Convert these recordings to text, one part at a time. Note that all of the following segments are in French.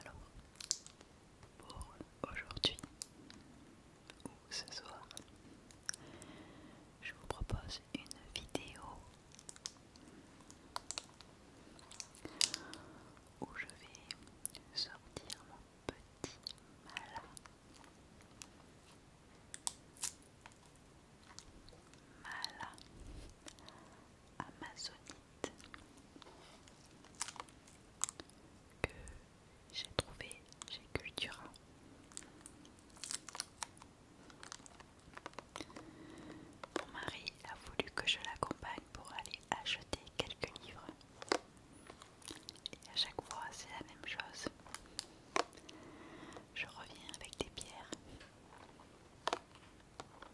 Alors, pour aujourd'hui ou ce soir, je vous propose une vidéo où je vais sortir mon petit malin. Mala, amazonite que j'ai trouvé chez Cultura. Mon mari a voulu que je l'accompagne pour aller acheter quelques livres. Et à chaque fois, c'est la même chose. Je reviens avec des pierres.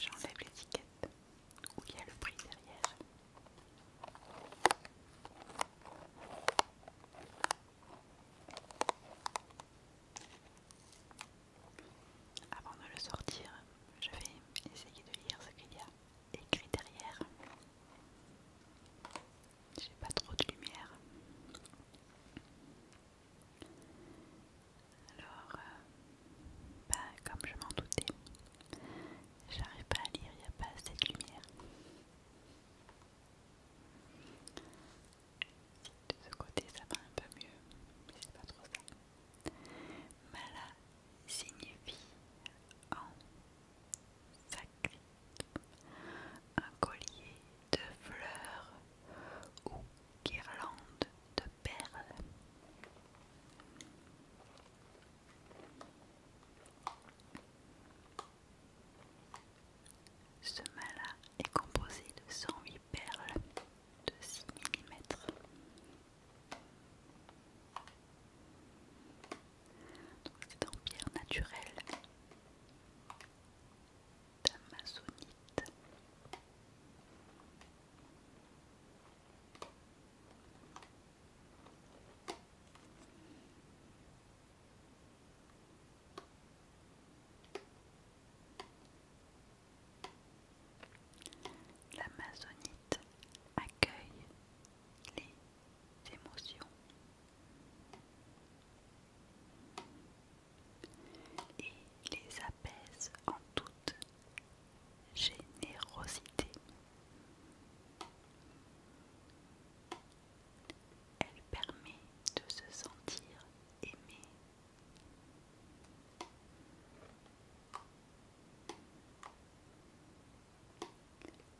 j'enlève l'étiquette où il y a le prix derrière. Avant de le sortir, je vais essayer de lire ce qu'il y a écrit derrière. J'ai pas trop de lumière. Alors, euh, bah, comme je m'en doutais, j'arrive pas à lire, il n'y a pas assez de lumière. De ce côté, ça va un peu mieux, mais c'est pas trop ça. Mala signifie en sac, un collier de fleurs ou guirlande de perles. Ce mala est composé de 108 perles de 6 mm. C'est en pierre naturelle. L'amazonite accueille les émotions et les apaise en toute générosité. Elle permet de se sentir aimé.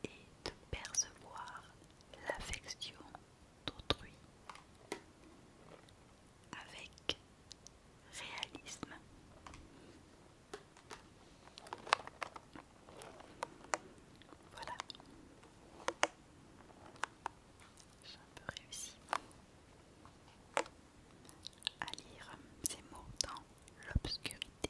Et de percevoir l'affection d'autrui avec réalisme. Voilà. J'ai un peu réussi à lire ces mots dans l'obscurité.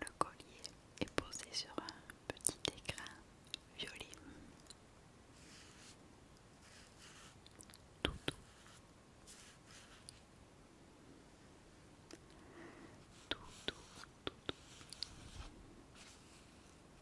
Le collier est posé sur un petit écrin violet.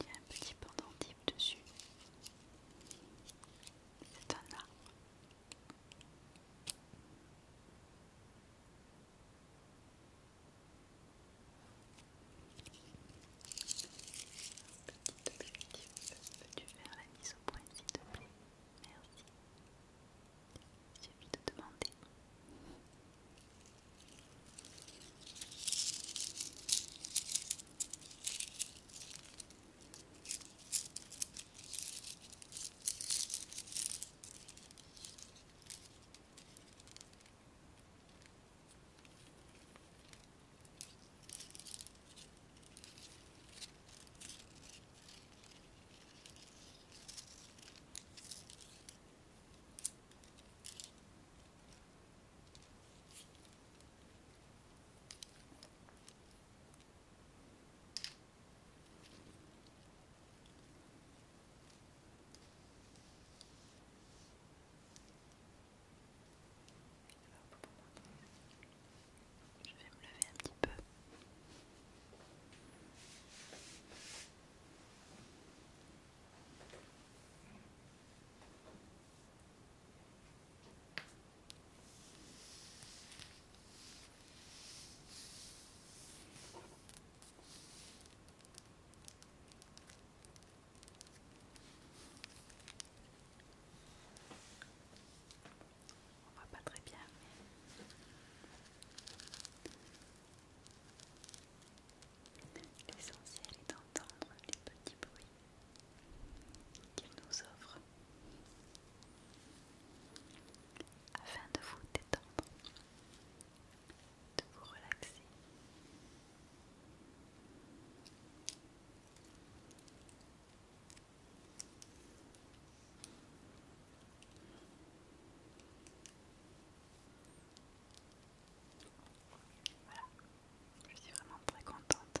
Il y a un petit pendentif dessus. C'est un arbre. Petit objectif, peux-tu faire la mise au point s'il te plaît Merci. J'ai suffit de demander. Je vais me lever un petit peu. On voit pas très bien, L'essentiel est d'entendre les petits bruits qu'il nous offre afin de vous détendre, de vous relaxer je suis vraiment très contente.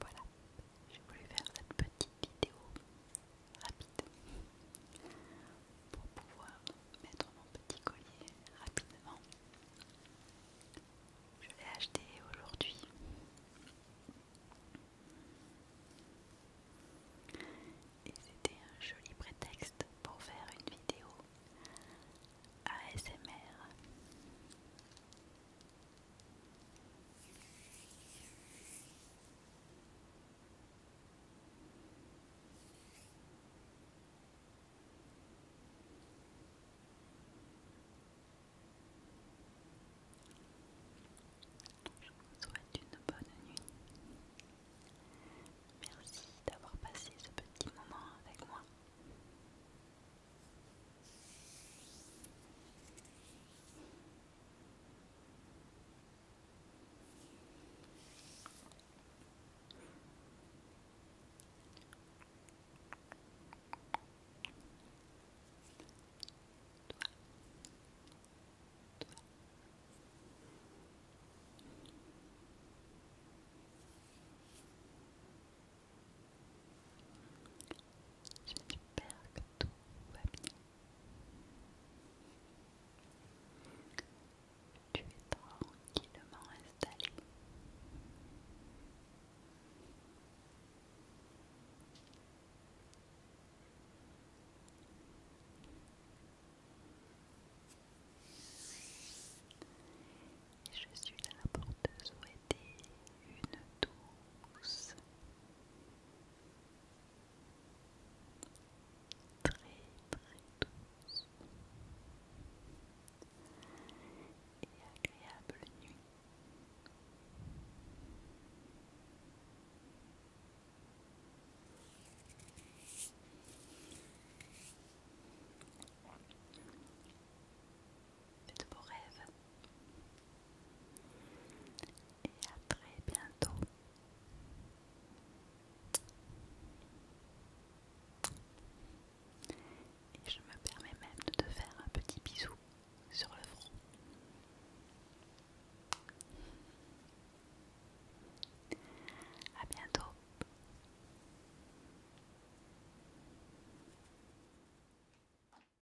Voilà, j'ai voulu faire cette petite vidéo rapide pour pouvoir mettre mon petit collier rapidement. Je l'ai acheté aujourd'hui. Et c'était un joli prétexte pour faire une vidéo ASMR. Je vous souhaite une bonne nuit. Merci d'avoir passé ce petit moment avec moi. J'espère que tout va bien. Tu es tranquillement installé. je suis la porteuse te souhaiter une douce Très très douce et agréable nuit. Faites de beaux rêves et à très bientôt. Et je me permets même de te faire un petit bisou sur le front. À bientôt.